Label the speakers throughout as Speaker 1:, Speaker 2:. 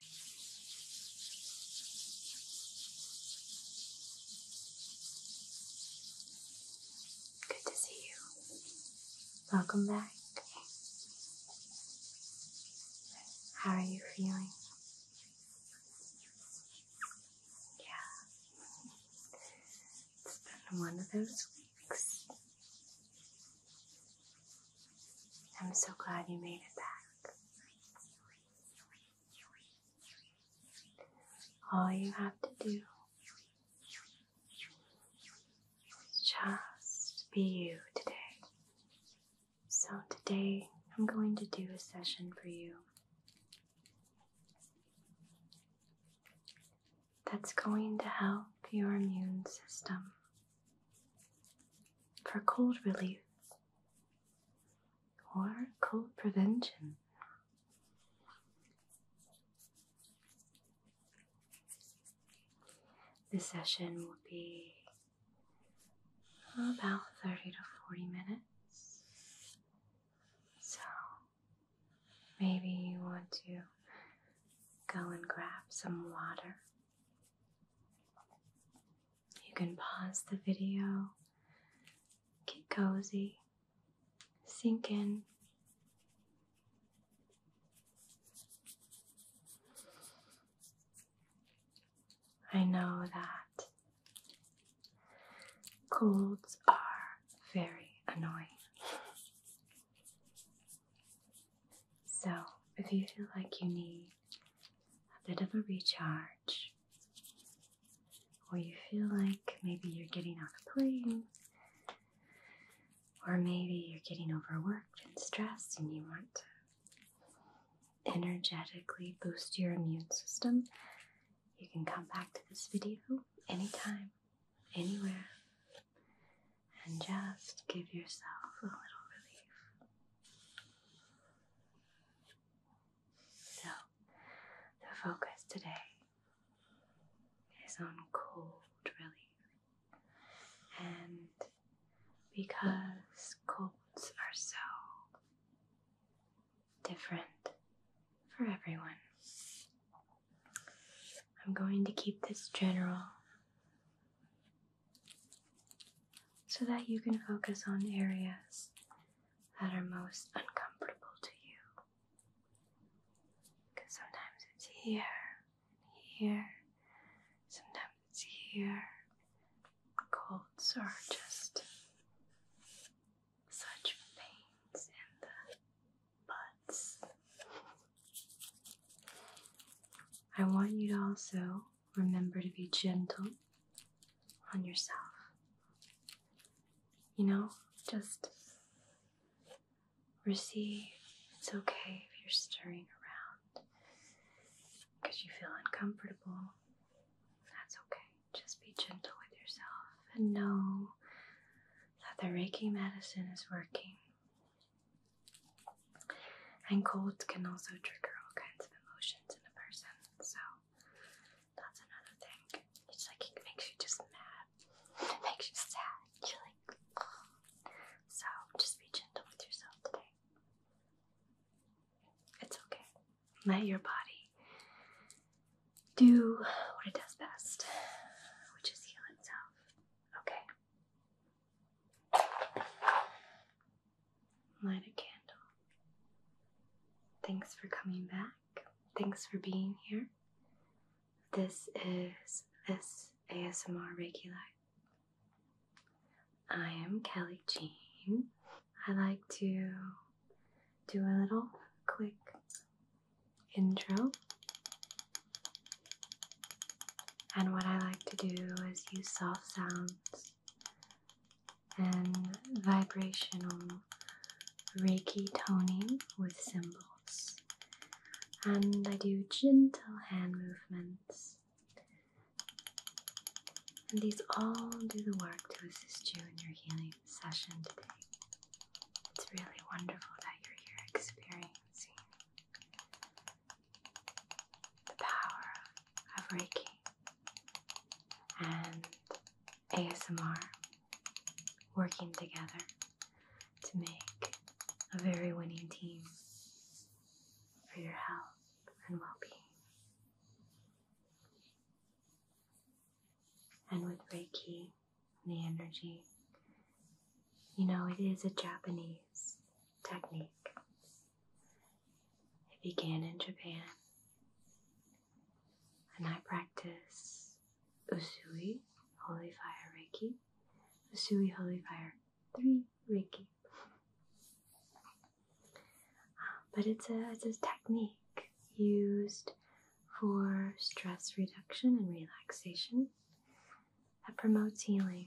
Speaker 1: Good to see you. Welcome back. How are you feeling? Yeah. It's been one of those weeks. I'm so glad you made it back. All you have to do just be you today. So, today I'm going to do a session for you that's going to help your immune system for cold relief or cold prevention. This session will be about 30 to 40 minutes. So maybe you want to go and grab some water you can pause the video, get cozy, sink in. I know that colds are very annoying. So, if you feel like you need a bit of a recharge, or you feel like maybe you're getting off a plane, or maybe you're getting overworked and stressed and you want to energetically boost your immune system, you can come back to this video anytime, anywhere and just give yourself a little relief. So, the focus today is on cold relief, and because colds are so different for everyone. I'm going to keep this general so that you can focus on areas that are most uncomfortable to you. Because sometimes it's here, here, sometimes it's here. Colds are just such pains in the butts. I want you to also remember to be gentle on yourself. You know, just receive. It's okay if you're stirring around because you feel uncomfortable. That's okay. Just be gentle with yourself and know that the Reiki medicine is working and colds can also trigger all kinds of emotions in a person, so that's another thing. It's like it makes you just mad, it makes you sad. You're like, so just be gentle with yourself today. It's okay. Let your body do what it does best, which is heal itself. Okay. Light a candle. Thanks for coming back. Thanks for being here. This is this ASMR Reiki I am Kelly Jean. I like to do a little quick intro and what I like to do is use soft sounds and vibrational Reiki toning with symbols. And I do gentle hand movements. And these all do the work to assist you in your healing session today. It's really wonderful that you're here experiencing the power of Reiki and ASMR working together to make a very winning team for your health and well being. And with Reiki the energy you know, it is a Japanese technique. It began in Japan, and I practice Usui Holy Fire Reiki, Usui Holy Fire 3 Reiki. Um, but it's a, it's a technique used for stress reduction and relaxation that promotes healing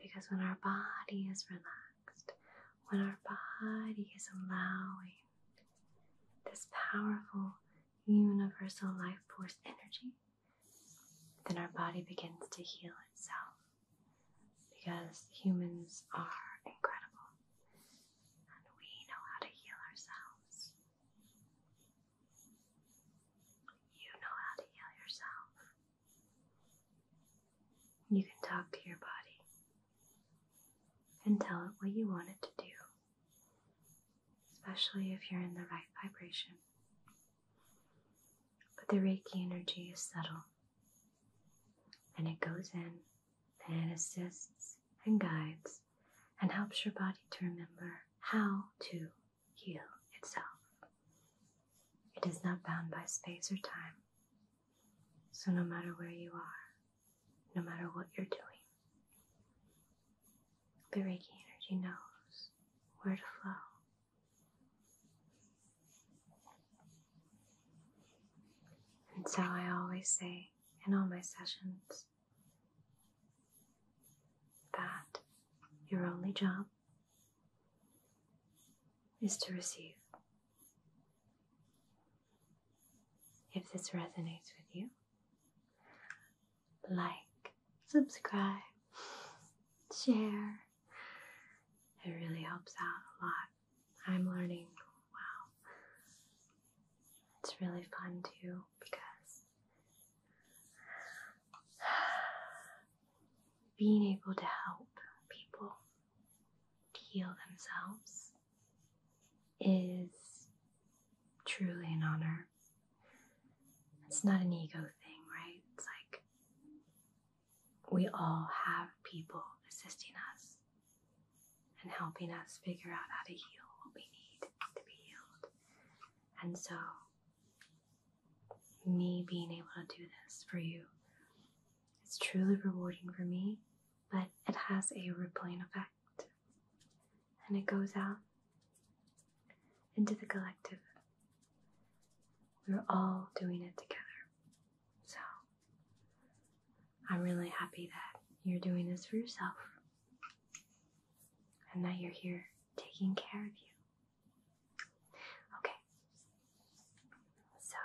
Speaker 1: because when our body is relaxed, when our body is allowing this powerful universal life force energy, then our body begins to heal itself. Because humans are incredible and we know how to heal ourselves. You know how to heal yourself. You can talk to your body and tell it what you want it to do, especially if you're in the right vibration. But the Reiki energy is subtle and it goes in and it assists and guides and helps your body to remember how to heal itself. It is not bound by space or time. So, no matter where you are, no matter what you're doing, the Reiki energy knows where to flow. And so, I always say in all my sessions that your only job is to receive. If this resonates with you, like, subscribe, share. It really helps out a lot. I'm learning. Wow. It's really fun too because being able to help people heal themselves is truly an honor. It's not an ego thing, right? It's like we all have people assisting us and helping us figure out how to heal what we need to be healed. And so me being able to do this for you its truly rewarding for me, but it has a rippling effect. And it goes out into the collective. We're all doing it together. So I'm really happy that you're doing this for yourself and that you're here taking care of you Okay. So,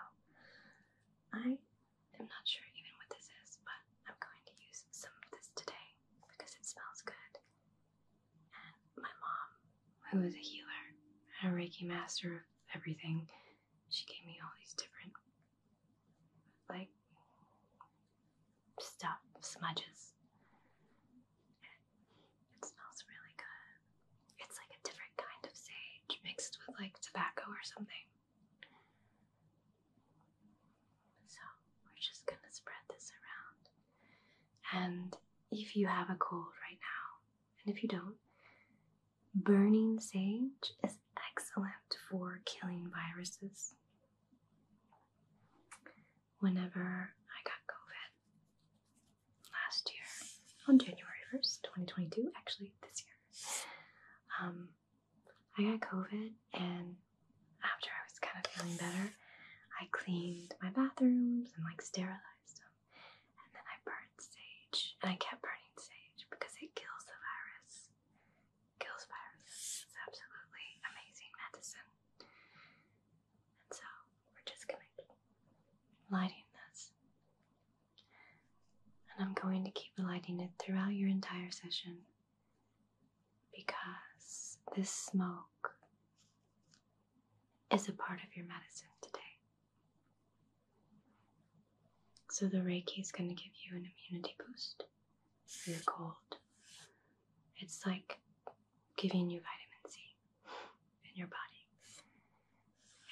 Speaker 1: I am not sure even what this is, but I'm going to use some of this today because it smells good. And my mom, who is a healer and a Reiki master of everything, she gave me all these different, like, stuff, smudges. It smells really good. It's like a different kind of sage mixed with like tobacco or something. So we're just gonna spread this around. And if you have a cold right now, and if you don't, burning sage is excellent for killing viruses whenever I got COVID last year on January 1st, 2022, actually this year. Um, I got COVID, and after I was kind of feeling better, I cleaned my bathrooms and like sterilized them. And then I burned sage, and I kept burning sage because it kills the virus. Kills virus, It's absolutely amazing medicine. And so we're just going lighting this. And I'm going to keep lighting it throughout your entire session because this smoke is a part of your medicine today. So the Reiki is going to give you an immunity boost for your cold, it's like giving you vitamin C in your body.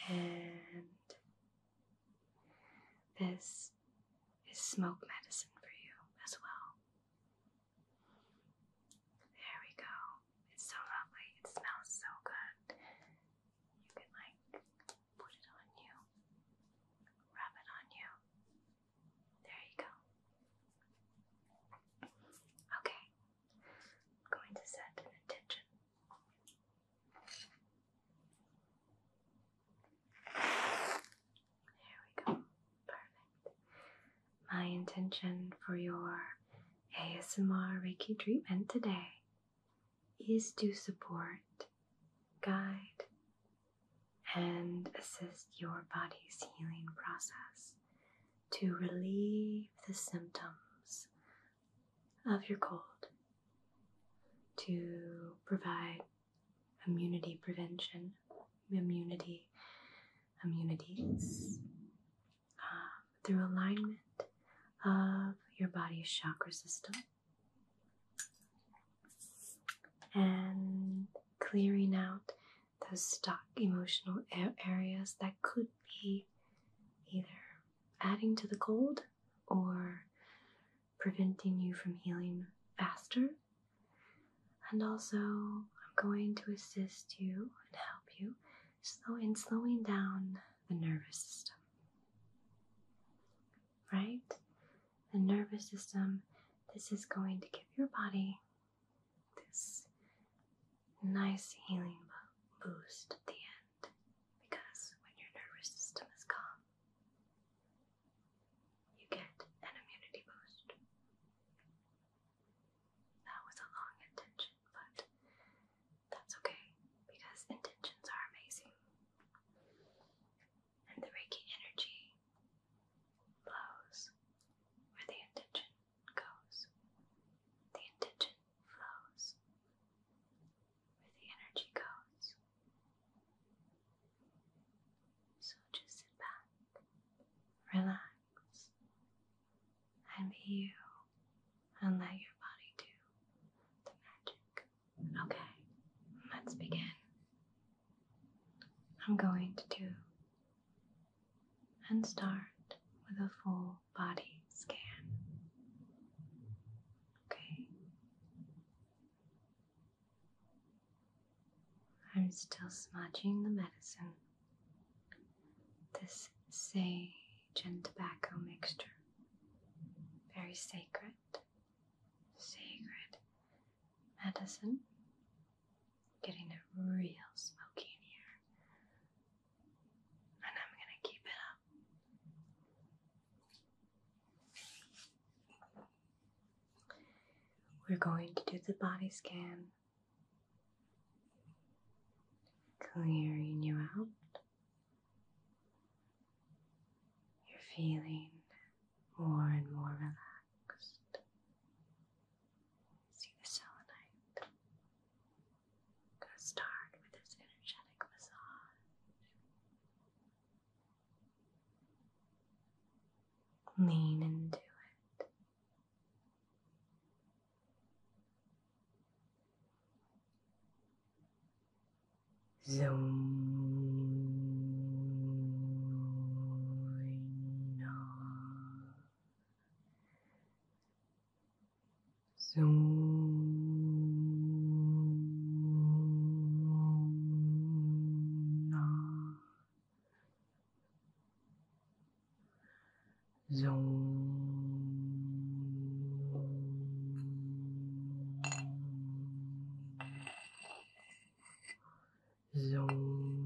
Speaker 1: And this is smoke medicine for you as well. There we go. It's so lovely. It smells so good. You can like put it on you, rub it on you, there you go. Okay, I'm going to set an intention. There we go. Perfect. My intention for your ASMR Reiki treatment today is to support, guide, and assist your body's healing process to relieve the symptoms of your cold, to provide immunity prevention, immunity, immunities uh, through alignment of your body's chakra system and clearing out those stuck emotional areas that could be either adding to the cold or preventing you from healing faster. And also, I'm going to assist you and help you slow in slowing down the nervous system. Right? The nervous system, this is going to give your body this nice healing boost at the end because when your nervous system is calm, you get an immunity boost. That was a long intention, but that's okay because intentions are amazing. And the Reiki energy flows where the intention goes. The intention flows where the energy goes. So just sit back, relax, and be you, and let your body do the magic. Okay, let's begin. I'm going to do and start with a full body scan. Okay. I'm still smudging the medicine. This sage and tobacco mixture. Very sacred. Sacred Madison, Getting it real smoky in here. And I'm going to keep it up. We're going to do the body scan, clearing you out. You're feeling more and more relaxed. See the selenite go start with its energetic massage. Lean into it. Zoom. Zona. Zona zone.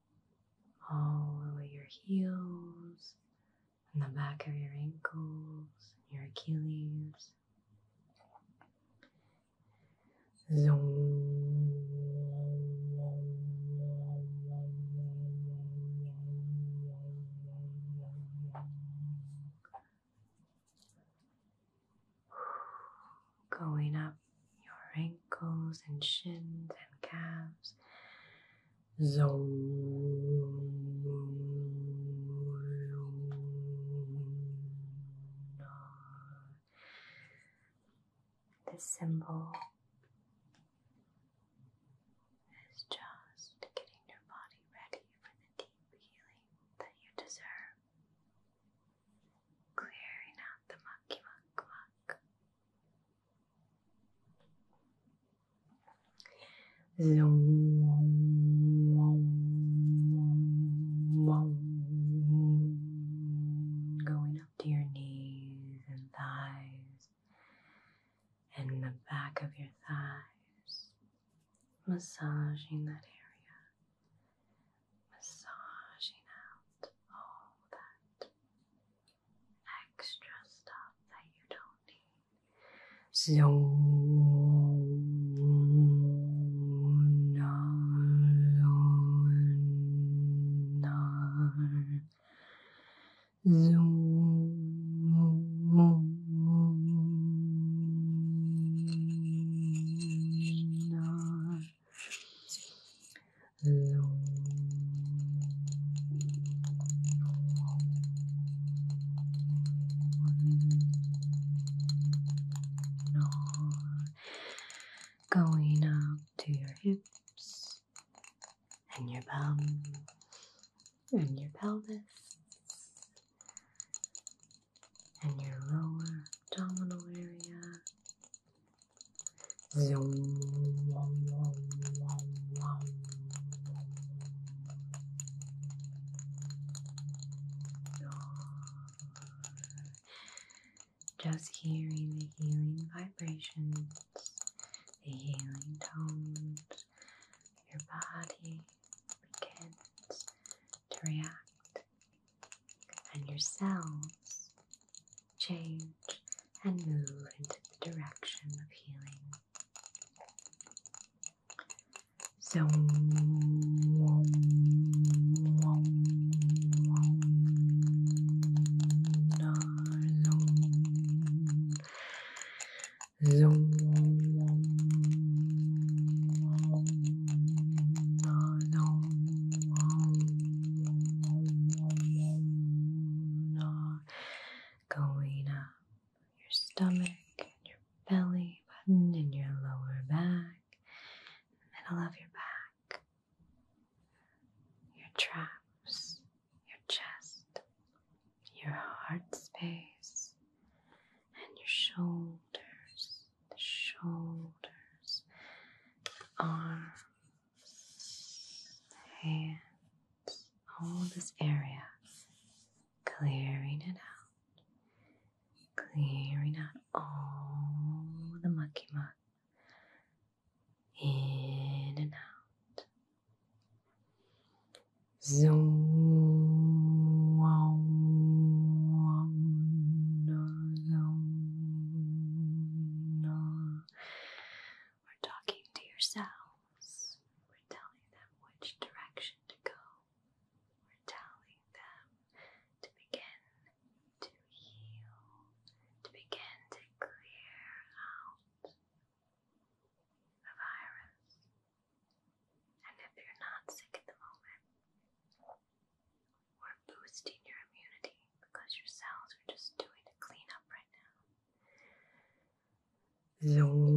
Speaker 1: all the way your heels and the back of your ankles, your Achilles. Zoom. Going up your ankles and shins and calves. This symbol is just getting your body ready for the deep healing that you deserve. Clearing out the mucky muck muck. Going up to your knees and thighs and the back of your thighs, massaging that area, massaging out all that extra stuff that you don't need. Zoom, Going up to your hips and your bum and your pelvis and your lower abdominal area just hearing the healing vibrations, the healing tones, your body begins to react, and your cells change, and move into the direction of healing. So, going up your stomach your belly button and your lower back, the middle of your back, your traps, your chest, your heart space, and your shoulders, the shoulders, the arms and all this area, clearing it out, clearing out all the mucky muck in and out. Zoom. We're talking to yourselves. We're telling them which direction to go. We're telling them to begin to heal, to begin to clear out a virus. And if you're not sick at the moment, or boosting your immunity because your cells are just doing a cleanup right now. So,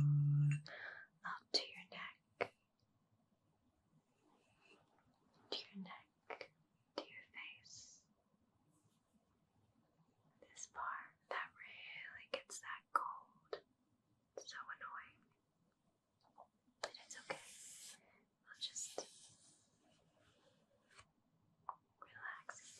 Speaker 1: up to your neck, to your neck, to your face. This part that really gets that cold. It's so annoying. But it's okay. I'll just relax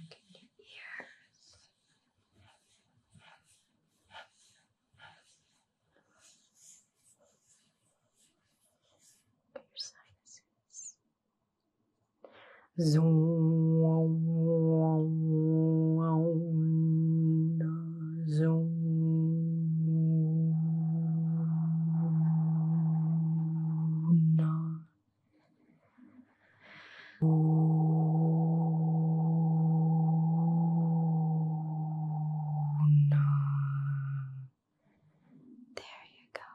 Speaker 1: back in your ears. Look your sinuses. Zoom, zoom. There you go.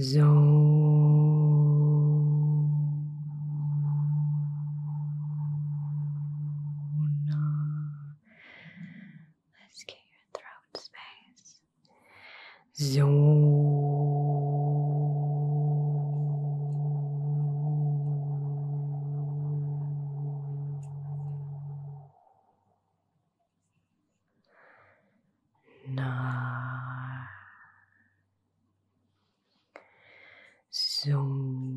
Speaker 1: Zona. Let's get your throat space. Zoom. Na. Zoom.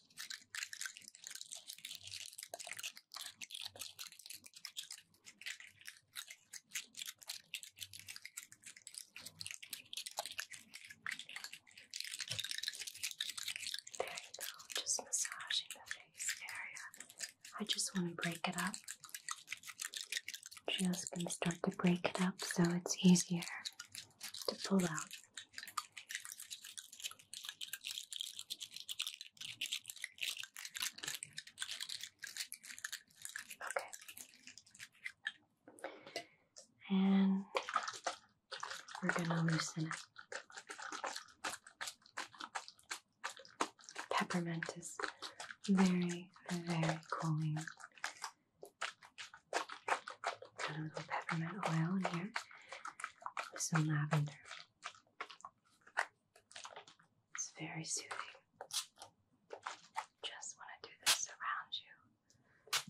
Speaker 1: There you go, just massaging the face area. I just want to break it up. Just going to start to break it up so it's easier to pull out. Okay. And we're gonna loosen it. Peppermint is very, very cooling. Got a little peppermint oil in here some lavender. It's very soothing. Just want to do this around you.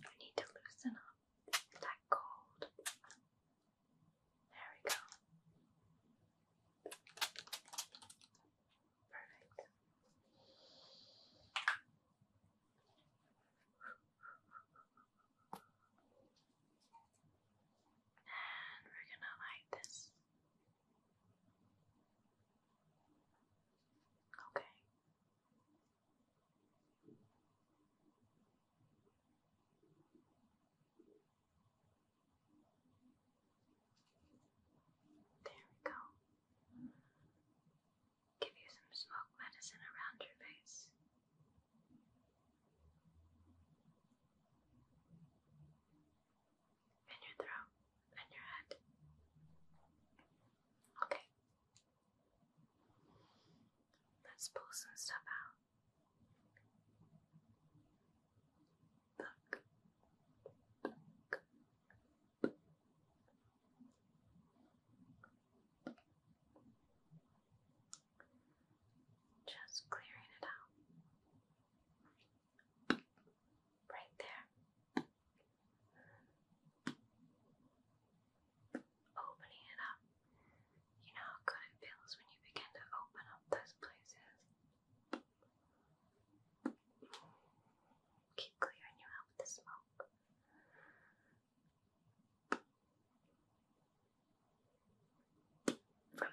Speaker 1: You need to loosen up that cold. There we go. Perfect. And we're going to light this. Okay. There we go. Give you some smoke medicine around your face. And your throat and your head. Okay. Let's pull some stuff out. Look. Just clearing it out. Right there. Opening it up. You know how good it feels when you begin to open up those places. Keep clearing you out with the smoke from the root.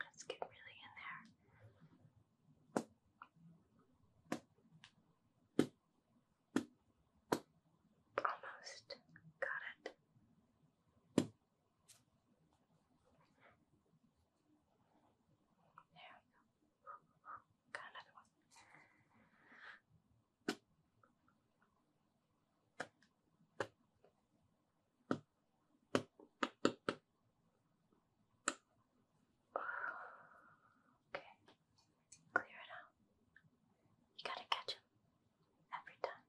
Speaker 1: Let's get really in there. Almost got it. There we go. Got another one. Okay. Clear it out. You gotta catch them every time.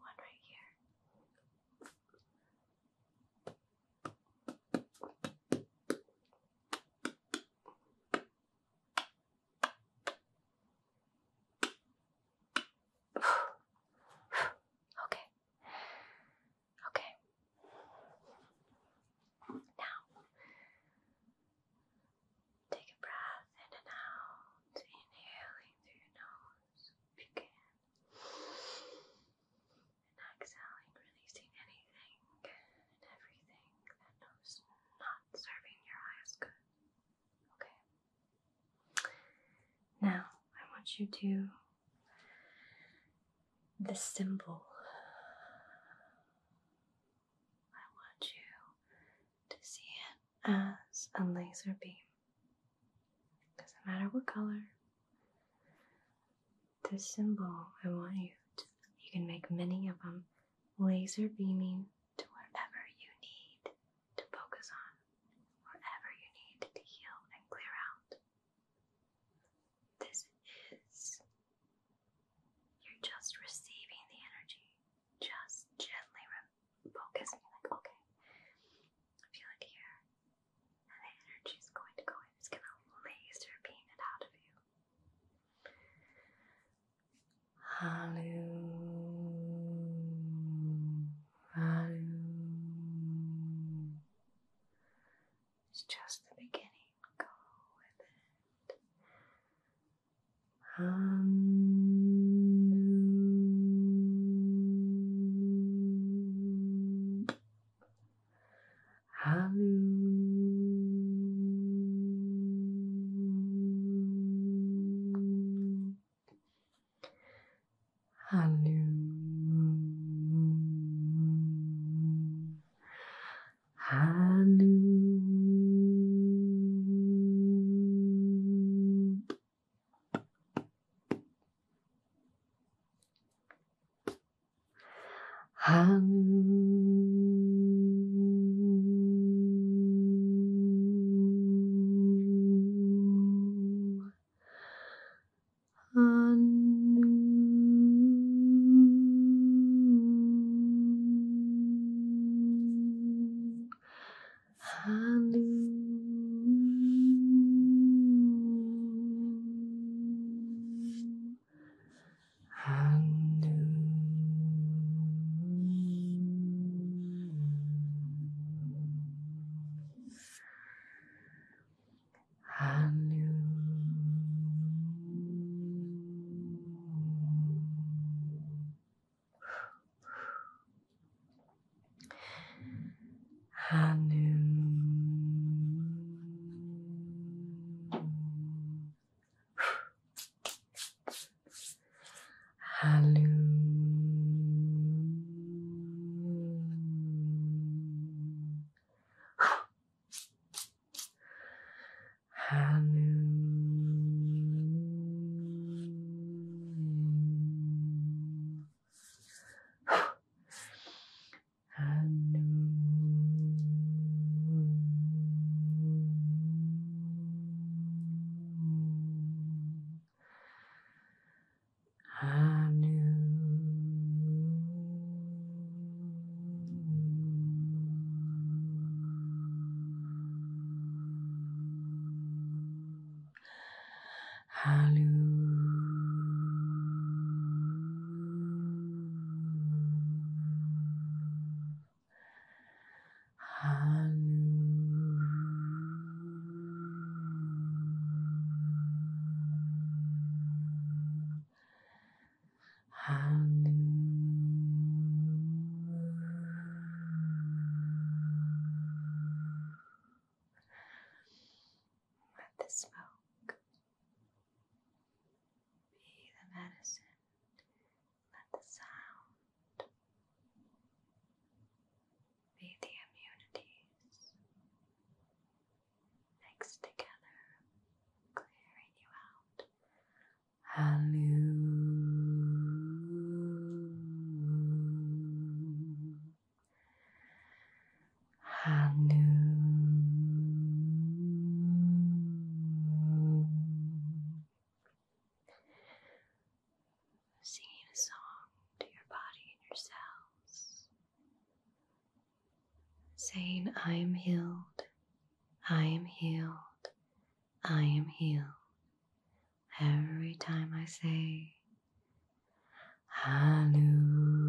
Speaker 1: One right here. okay. Okay. Now, take a breath in and out, inhaling through your nose if you can, exhaling, releasing anything and everything that knows not serving your highest good. Okay. Now, I want you to the symbol. I want you to see it as a laser beam. Doesn't matter what color. This symbol, I want you to, you can make many of them, laser beaming to wherever you need to focus on, wherever you need to heal and clear out. This is. You're just receiving the energy, just gently focusing, like, okay, I feel it here. the energy is going to go in, it's going to laser beam it out of you. Hallelujah. It's just the beginning. Go with it. Hallelujah. Hallelujah. Hallelujah. Hallelujah. Hallelujah. Hallelujah. Hallelujah. Hallelujah. Hanu. Hanu. Hallelujah. Hallelujah. Hallelujah. Hallelujah. Let the smoke be the medicine. Let the sound be the immunities next together, clearing you out. Hallelujah. Hallelujah. Singing a song to your body and your cells saying, I am healed, I am healed, I am healed. Every time I say, Hallelujah.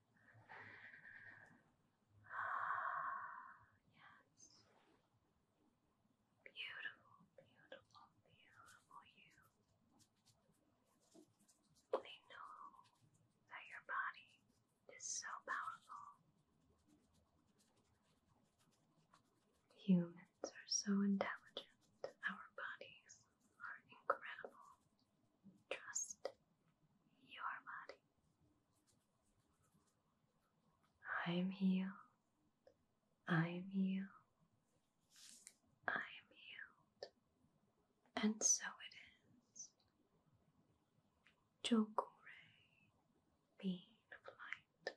Speaker 1: yes. Beautiful, beautiful, beautiful you. They know that your body is so powerful. Humans are so intelligent. Our bodies are incredible. Trust your body. I'm healed. I'm healed. I'm healed. And so it is. Jokore, being of light.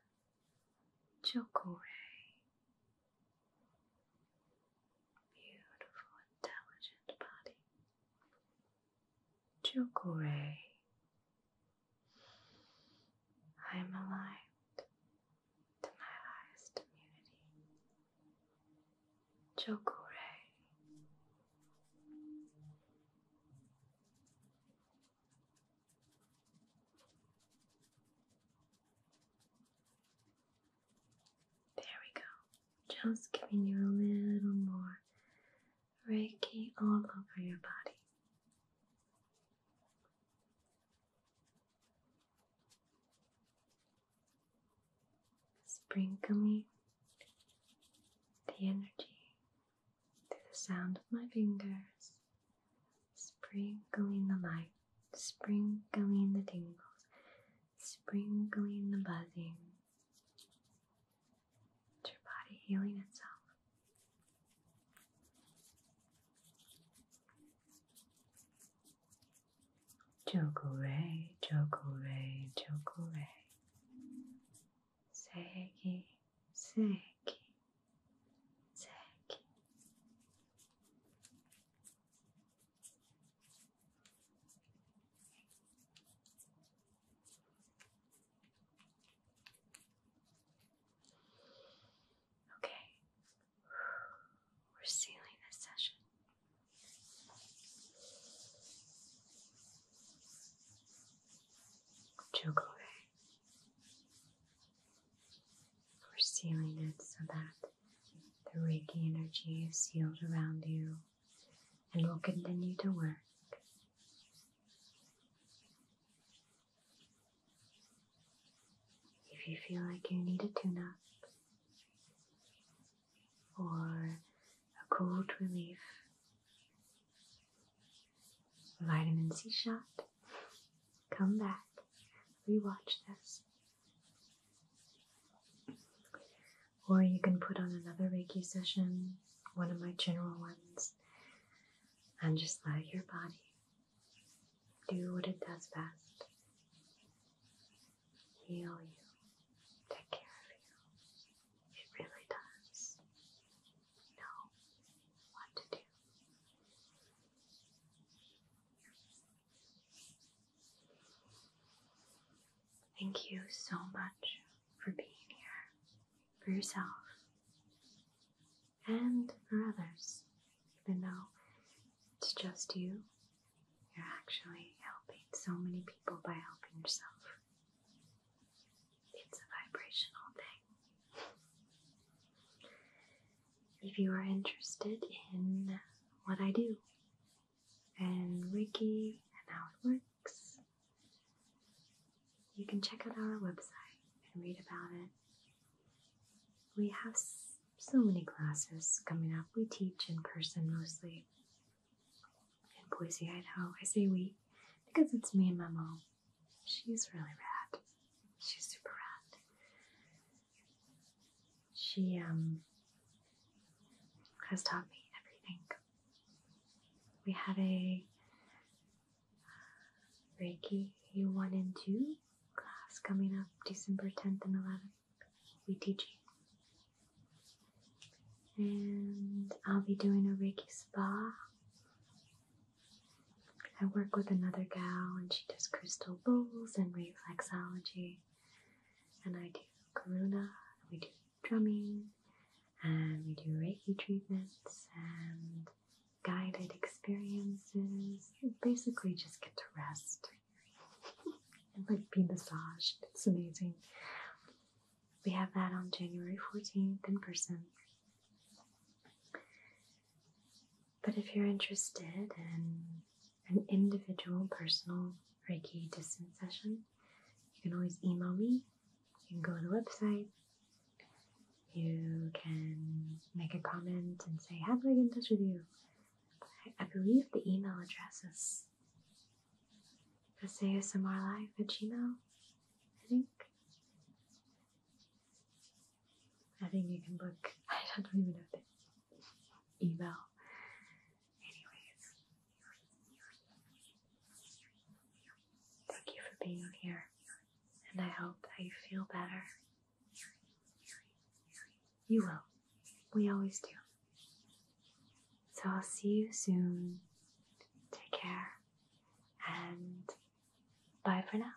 Speaker 1: Jokore. Beautiful, intelligent body to gray. I am aligned to my highest immunity. To there we go. Just giving you a little more Reiki all over your body. Sprinkling the energy through the sound of my fingers, sprinkling the light, sprinkling the tingles, sprinkling the buzzing. your body healing itself. Jokure, Jokure, Jokure. Seki, Seki, Seki. Okay, we're sealing this session. Chocolate. We're sealing it so that the Reiki energy is sealed around you and will continue to work. If you feel like you need a tune up or a cold relief, vitamin C shot, come back, rewatch this. Or you can put on another Reiki session, one of my general ones, and just let your body do what it does best heal you, take care of you. It really does know what to do. Thank you so much for being here for yourself and for others, even though it's just you. You're actually helping so many people by helping yourself. It's a vibrational thing. If you are interested in what I do, and Wiki and how it works. You can check out our website and read about it. We have so many classes coming up. We teach in person mostly in Boise, Idaho. I say we because it's me and my mom. She's really rad. She's super rad. She um, has taught me everything. We have a uh, Reiki one and two class coming up December 10th and 11th. We teach you. And I'll be doing a Reiki spa. I work with another gal and she does crystal bowls and reflexology. And I do corona. we do drumming, and we do Reiki treatments and guided experiences. You basically just get to rest and like be massaged. It's amazing. We have that on January 14th in person. But if you're interested in an individual personal Reiki distance session, you can always email me. You can go to the website. You can make a comment and say, How do I get in touch with you? I, believe the email address is asmrlive at gmail, I think. I think you can book. I don't even know if email. Anyways, thank you for being here, and I hope that you feel better. You will. We always do. So I'll see you soon. Take care, and bye for now.